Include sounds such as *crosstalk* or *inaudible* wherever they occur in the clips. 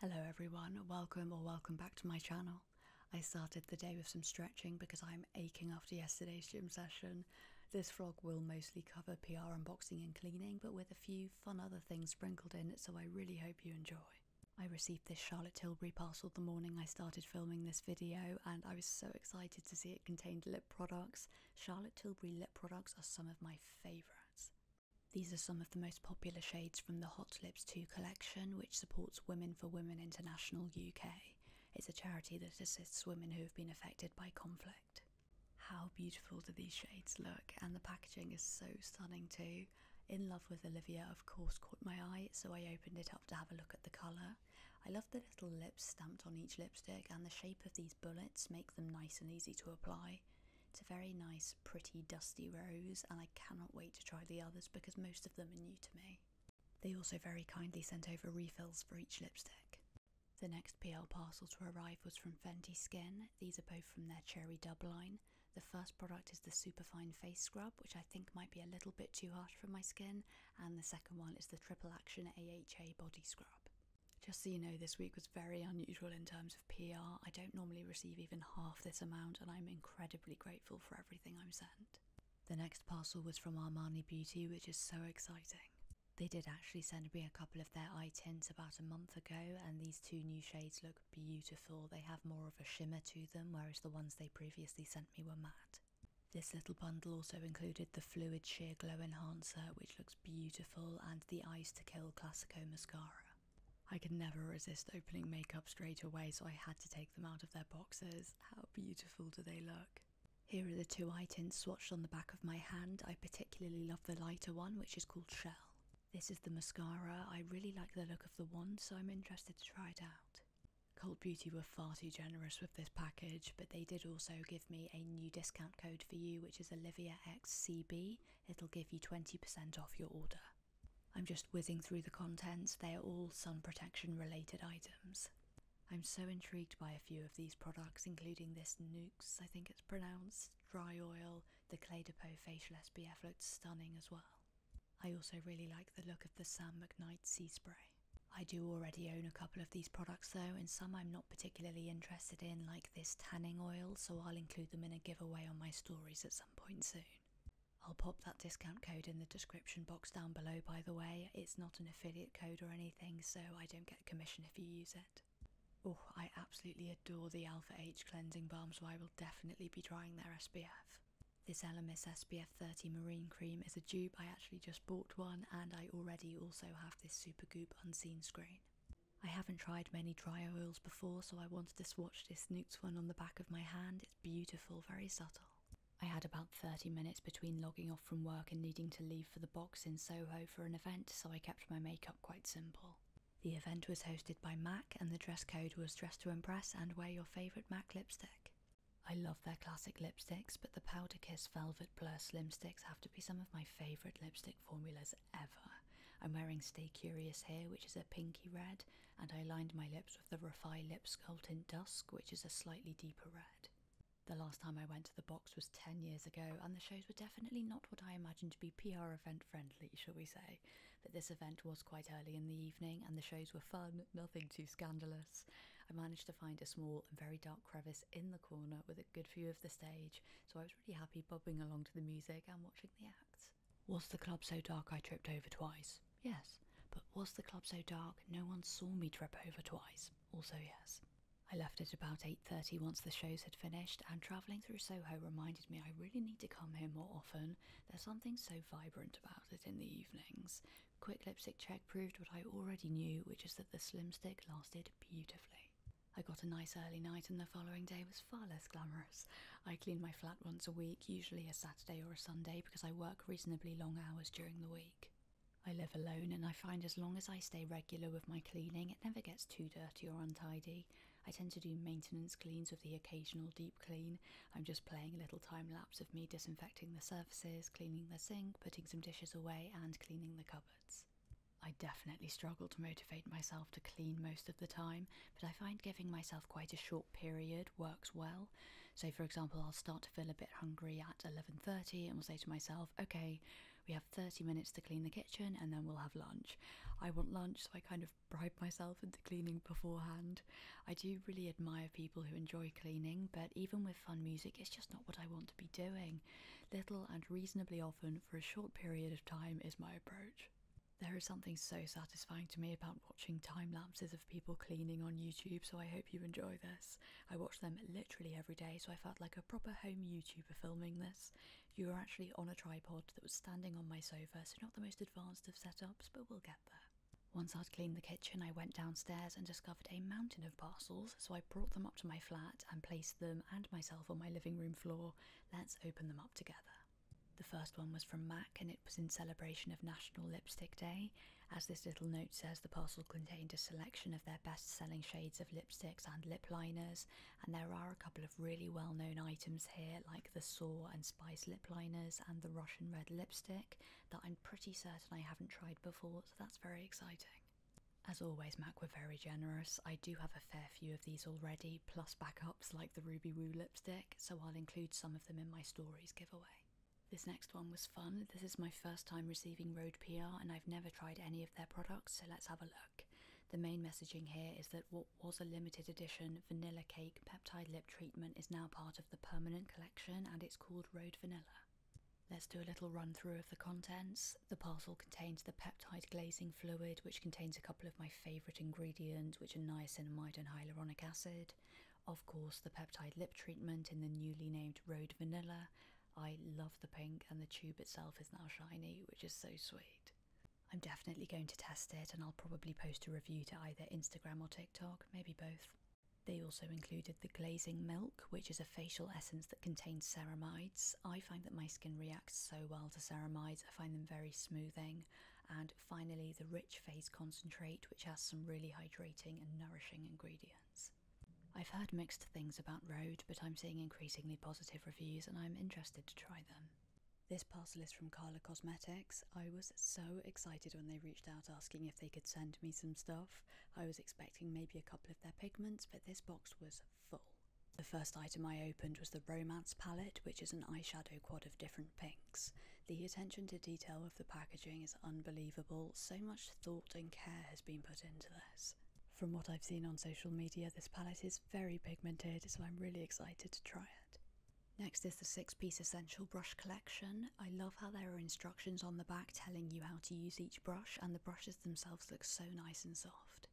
Hello everyone, welcome or welcome back to my channel. I started the day with some stretching because I'm aching after yesterday's gym session. This vlog will mostly cover PR unboxing and cleaning, but with a few fun other things sprinkled in, so I really hope you enjoy. I received this Charlotte Tilbury parcel the morning I started filming this video and I was so excited to see it contained lip products. Charlotte Tilbury lip products are some of my favourites. These are some of the most popular shades from the Hot Lips 2 collection, which supports Women for Women International UK. It's a charity that assists women who have been affected by conflict. How beautiful do these shades look, and the packaging is so stunning too. In Love with Olivia, of course, caught my eye, so I opened it up to have a look at the colour. I love the little lips stamped on each lipstick, and the shape of these bullets make them nice and easy to apply. It's a very nice pretty, dusty rose, and I cannot wait to try the others because most of them are new to me. They also very kindly sent over refills for each lipstick. The next PL parcel to arrive was from Fenty Skin. These are both from their Cherry Dub line. The first product is the Superfine Face Scrub, which I think might be a little bit too harsh for my skin, and the second one is the Triple Action AHA Body Scrub. Just so you know, this week was very unusual in terms of PR, I don't normally receive even half this amount, and I'm incredibly grateful for everything I'm sent. The next parcel was from Armani Beauty, which is so exciting. They did actually send me a couple of their eye tints about a month ago, and these two new shades look beautiful. They have more of a shimmer to them, whereas the ones they previously sent me were matte. This little bundle also included the Fluid Sheer Glow Enhancer, which looks beautiful, and the Eyes to Kill Classico Mascara. I could never resist opening makeup straight away, so I had to take them out of their boxes. How beautiful do they look! Here are the two eye swatched on the back of my hand. I particularly love the lighter one, which is called Shell. This is the mascara. I really like the look of the wand, so I'm interested to try it out. Cold Beauty were far too generous with this package, but they did also give me a new discount code for you, which is OliviaXCB. It'll give you 20% off your order. I'm just whizzing through the contents, they are all sun protection related items. I'm so intrigued by a few of these products, including this Nukes, I think it's pronounced, dry oil, the Clay Depot facial SPF looks stunning as well. I also really like the look of the Sam McKnight Sea Spray. I do already own a couple of these products though, and some I'm not particularly interested in, like this tanning oil, so I'll include them in a giveaway on my stories at some point soon. I'll pop that discount code in the description box down below, by the way. It's not an affiliate code or anything, so I don't get commission if you use it. Oh, I absolutely adore the Alpha H cleansing balm, so I will definitely be trying their SPF. This Elemis SPF 30 Marine Cream is a dupe. I actually just bought one, and I already also have this Super Goop Unseen Screen. I haven't tried many dry oils before, so I want. Just swatched this Nukes one on the back of my hand. It's beautiful, very subtle. I had about 30 minutes between logging off from work and needing to leave for the box in Soho for an event, so I kept my makeup quite simple. The event was hosted by MAC, and the dress code was dress to impress and wear your favourite MAC lipstick. I love their classic lipsticks, but the Powder Kiss Velvet Plus lipsticks have to be some of my favourite lipstick formulas ever. I'm wearing Stay Curious here, which is a pinky red, and I lined my lips with the Refi Lip Sculpt in Dusk, which is a slightly deeper red. The last time I went to the box was 10 years ago, and the shows were definitely not what I imagined to be PR event friendly, shall we say. But this event was quite early in the evening, and the shows were fun, nothing too scandalous. I managed to find a small and very dark crevice in the corner with a good view of the stage, so I was really happy bobbing along to the music and watching the acts. Was the club so dark I tripped over twice? Yes. But was the club so dark no one saw me trip over twice? Also yes. I left at about 8.30 once the shows had finished and travelling through Soho reminded me I really need to come here more often. There's something so vibrant about it in the evenings. Quick lipstick check proved what I already knew, which is that the slim stick lasted beautifully. I got a nice early night and the following day was far less glamorous. I clean my flat once a week, usually a Saturday or a Sunday, because I work reasonably long hours during the week. I live alone and I find as long as I stay regular with my cleaning, it never gets too dirty or untidy. I tend to do maintenance cleans with the occasional deep clean. I'm just playing a little time lapse of me disinfecting the surfaces, cleaning the sink, putting some dishes away, and cleaning the cupboards. I definitely struggle to motivate myself to clean most of the time, but I find giving myself quite a short period works well. So, for example, I'll start to feel a bit hungry at 11:30 and will say to myself, "Okay, we have 30 minutes to clean the kitchen and then we'll have lunch." I want lunch, so I kind of bribe myself into cleaning beforehand. I do really admire people who enjoy cleaning, but even with fun music, it's just not what I want to be doing. Little and reasonably often for a short period of time is my approach. There is something so satisfying to me about watching time lapses of people cleaning on YouTube, so I hope you enjoy this. I watch them literally every day, so I felt like a proper home YouTuber filming this. You were actually on a tripod that was standing on my sofa, so not the most advanced of setups, but we'll get there. Once I'd cleaned the kitchen, I went downstairs and discovered a mountain of parcels, so I brought them up to my flat and placed them and myself on my living room floor. Let's open them up together. The first one was from MAC and it was in celebration of National Lipstick Day. As this little note says, the parcel contained a selection of their best selling shades of lipsticks and lip liners, and there are a couple of really well known items here, like the Saw and Spice lip liners and the Russian Red lipstick, that I'm pretty certain I haven't tried before, so that's very exciting. As always, Mac were very generous. I do have a fair few of these already, plus back like the Ruby Woo lipstick, so I'll include some of them in my stories giveaway. This next one was fun. This is my first time receiving Road PR and I've never tried any of their products, so let's have a look. The main messaging here is that what was a limited edition vanilla cake peptide lip treatment is now part of the permanent collection and it's called Road Vanilla. Let's do a little run through of the contents. The parcel contains the peptide glazing fluid, which contains a of my favourite ingredients, which are niacinamide and hyaluronic acid. Of course, the peptide lip treatment in the newly named Road Vanilla. I love the pink, and the tube itself is now shiny, which is so sweet. I'm definitely going to test it, and I'll probably post a review to either Instagram or TikTok, maybe both. They also included the glazing milk, which is a facial essence that contains ceramides. I find that my skin reacts so well to ceramides, I find them very smoothing, and finally the rich Face concentrate, which has some really hydrating and nourishing ingredients. I've heard mixed things about Road, but I'm seeing increasingly positive reviews and I'm interested to try them. This parcel is from Carla Cosmetics. I was so excited when they reached out asking if they could send me some stuff. I was expecting maybe a couple of their pigments, but this box was full. The first item I opened was the Romance palette, which is an eyeshadow quad of different pinks. The attention to detail of the packaging is unbelievable. So much thought and care has been put into this. From what I've seen on social media, this palette is very pigmented, so I'm really excited to try it. Next is the six piece essential brush collection. I love how there are instructions on the back telling you how to use each brush and the brushes themselves look so nice and soft.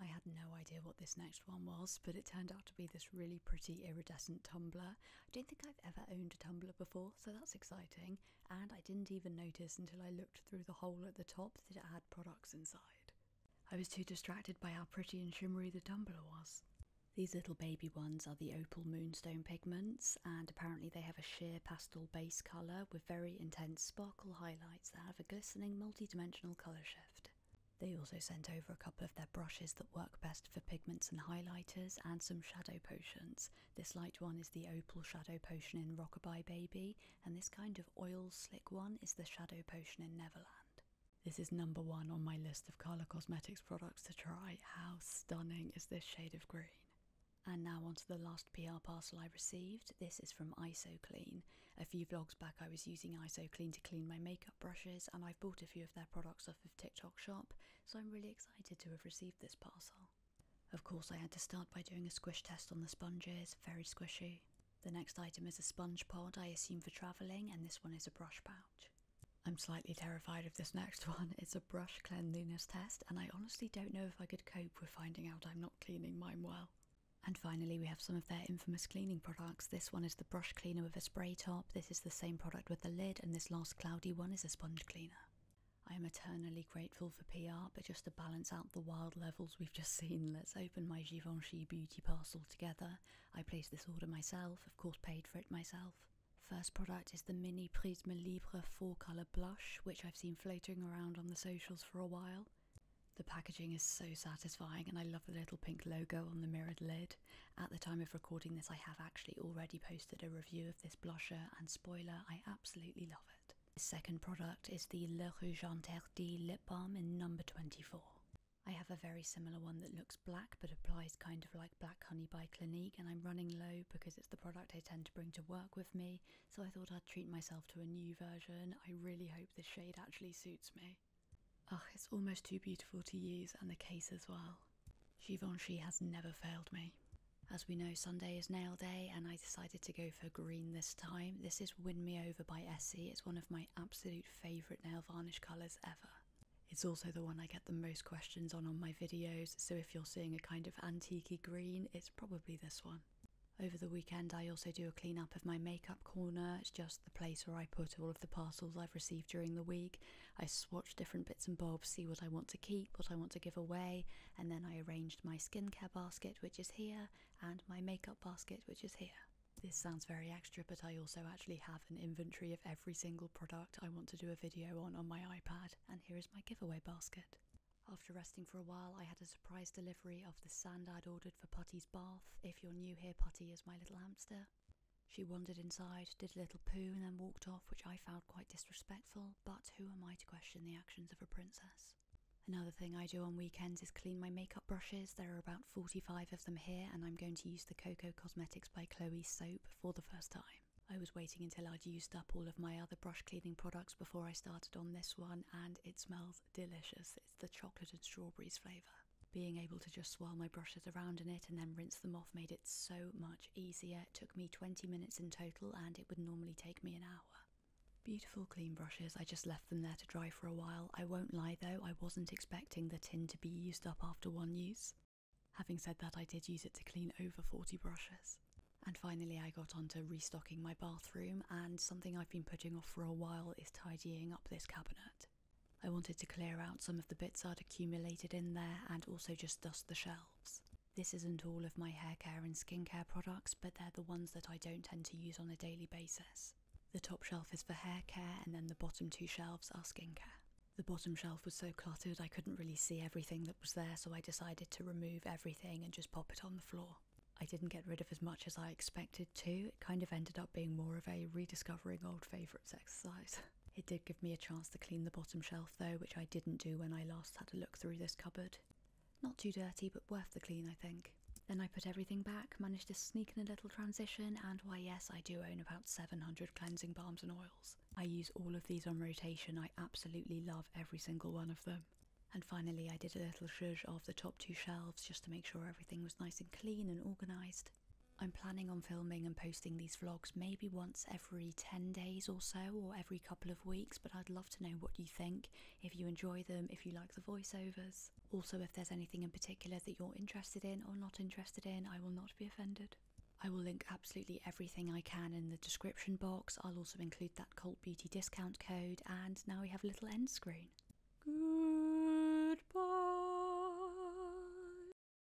I had no idea what this next one was, but it turned out to be this really pretty iridescent tumbler I don't think I've ever owned a tumbler before, so that's exciting. And I didn't even notice until I looked through the hole at the top that it had products inside. I was too distracted by how pretty and shimmery the tumbler was. These little baby ones are the opal moonstone pigments, and apparently they have a sheer pastel base colour with very intense sparkle highlights that have a glistening multi dimensional colour shift. They also sent over a couple of their brushes that work best for pigments and highlighters, and some shadow potions. This light one is the Opal Shadow Potion in Rockabye Baby, and this kind of oil slick one is the Shadow Potion in Neverland. This is number one on my list of Carla Cosmetics products to try. How stunning is this shade of green? And now onto the last PR parcel I received. This is from IsoClean. A few vlogs back I was using IsoClean to clean my makeup brushes and I've bought a few of their products of TikTok Shop, so I'm really excited to have received this parcel. Of course, I had to start by doing a squish test on the sponges, very squishy. The next item is a sponge pod, I assume for travelling, and this one is a brush pouch. I'm slightly terrified of this next *laughs* one. It's a brush cleanliness test, and I honestly don't know if I could cope with finding out I'm not cleaning mine well. And finally, we have some of their infamous cleaning products. This one is the brush cleaner with a spray top. This is the same product with the lid, and this last cloudy one is a sponge cleaner. I am eternally grateful for PR, but just to balance out the wild levels we've just seen, let's open my Givenchy beauty parcel together. I placed this order myself, of course, paid for it myself. First product is the Mini Prisma Libre 4 colour blush, which I've seen floating around on the socials for a while. The packaging is so satisfying, and I love the little pink logo on the mirrored lid. At the time of recording this, I have actually already posted a review of this blusher, and spoiler, I absolutely love it. The second product is the Le Rouge Interdit Lip Balm in number 24. I have a very similar one that looks black but applies kind of like Black Honey by Clinique, and I'm running low because it's the product I tend to bring to work with me, so I thought I'd treat myself to a new version. I really hope this shade actually suits me. Oh, it's almost too beautiful to use, and the case as well. Givenchy has never failed me. As we know, Sunday is nail day, and I decided to go for green this time. This is Win Me Over by Essie. It's one of my absolute favourite nail varnish colours ever. It's also the one I get the most questions on on my videos, so if you're seeing a kind of antique green, it's probably this one. Over the weekend, I also do a clean up of my makeup corner. It's just the place where I put all of the parcels I've received during the week, I swatch different bits and bobs, see what I want to keep, what I want to give away, and then I arranged my skincare basket, which is here, and my makeup basket, which is here. This sounds very extra, but I also actually have an inventory of every single product I want to do a video on on my iPad, and here is my giveaway basket. After resting for a while, I had a surprise delivery of the sand I'd ordered for Putty's bath. If you're new here, Putty is my little hamster. She wandered inside, did a little poo, and then walked off, which I found quite disrespectful, but who am I to question the actions of a princess? Another thing I do on weekends is clean my makeup brushes. There are about 45 of them here, and I'm going to use the Coco Cosmetics by Chloe soap for the first time. I was waiting until I'd used up all of my other brush cleaning products before I started on this one, and it smells delicious. It's the chocolate and strawberries flavour. Being able to just swirl my brushes around in it and then rinse them off made it so much easier. took me 20 minutes in total and it would normally take me an hour. Beautiful clean brushes, I just left them there to dry for a while. I won't lie though, I wasn't expecting the tin to be used up after one use. Having said that, I did use it to clean over 40 brushes. And finally, I got onto restocking my bathroom, and something I've been putting off for a while is tidying up this cabinet. I wanted to clear out some of the bits I'd accumulated in there and also just dust the shelves. This isn't all of my hair care and skincare products, but they're the ones that I don't tend to use on a daily basis. The top shelf is for hair care, and then the bottom two shelves are skincare. The bottom shelf was so cluttered I couldn't really see everything that was there, so I decided to remove everything and just pop it on the floor. I didn't get rid of as much as I expected to, it kind of ended up being more of a rediscovering old favourites exercise. *laughs* It did give me a chance to clean the bottom shelf though, which I didn't do when I last had a look through this cupboard. Not too dirty, but worth the clean, I think. Then I put everything back, managed to sneak in a little transition, and why yes, I do own about 700 cleansing balms and oils. I use all of these on rotation, I absolutely love every single one of them. And finally I did a little zhuzh of the top two shelves just to make sure everything was nice and clean and organised. I'm planning on filming and posting these vlogs maybe once every 10 days or so, or every couple of weeks, but I'd love to know what you think, if you enjoy them, if you like the voiceovers. Also, if there's anything in particular that you're interested in or not interested in, I will not be offended. I will link absolutely everything I can in the description box. I'll also include that Cult Beauty discount code, and now we have a little end screen. Goodbye.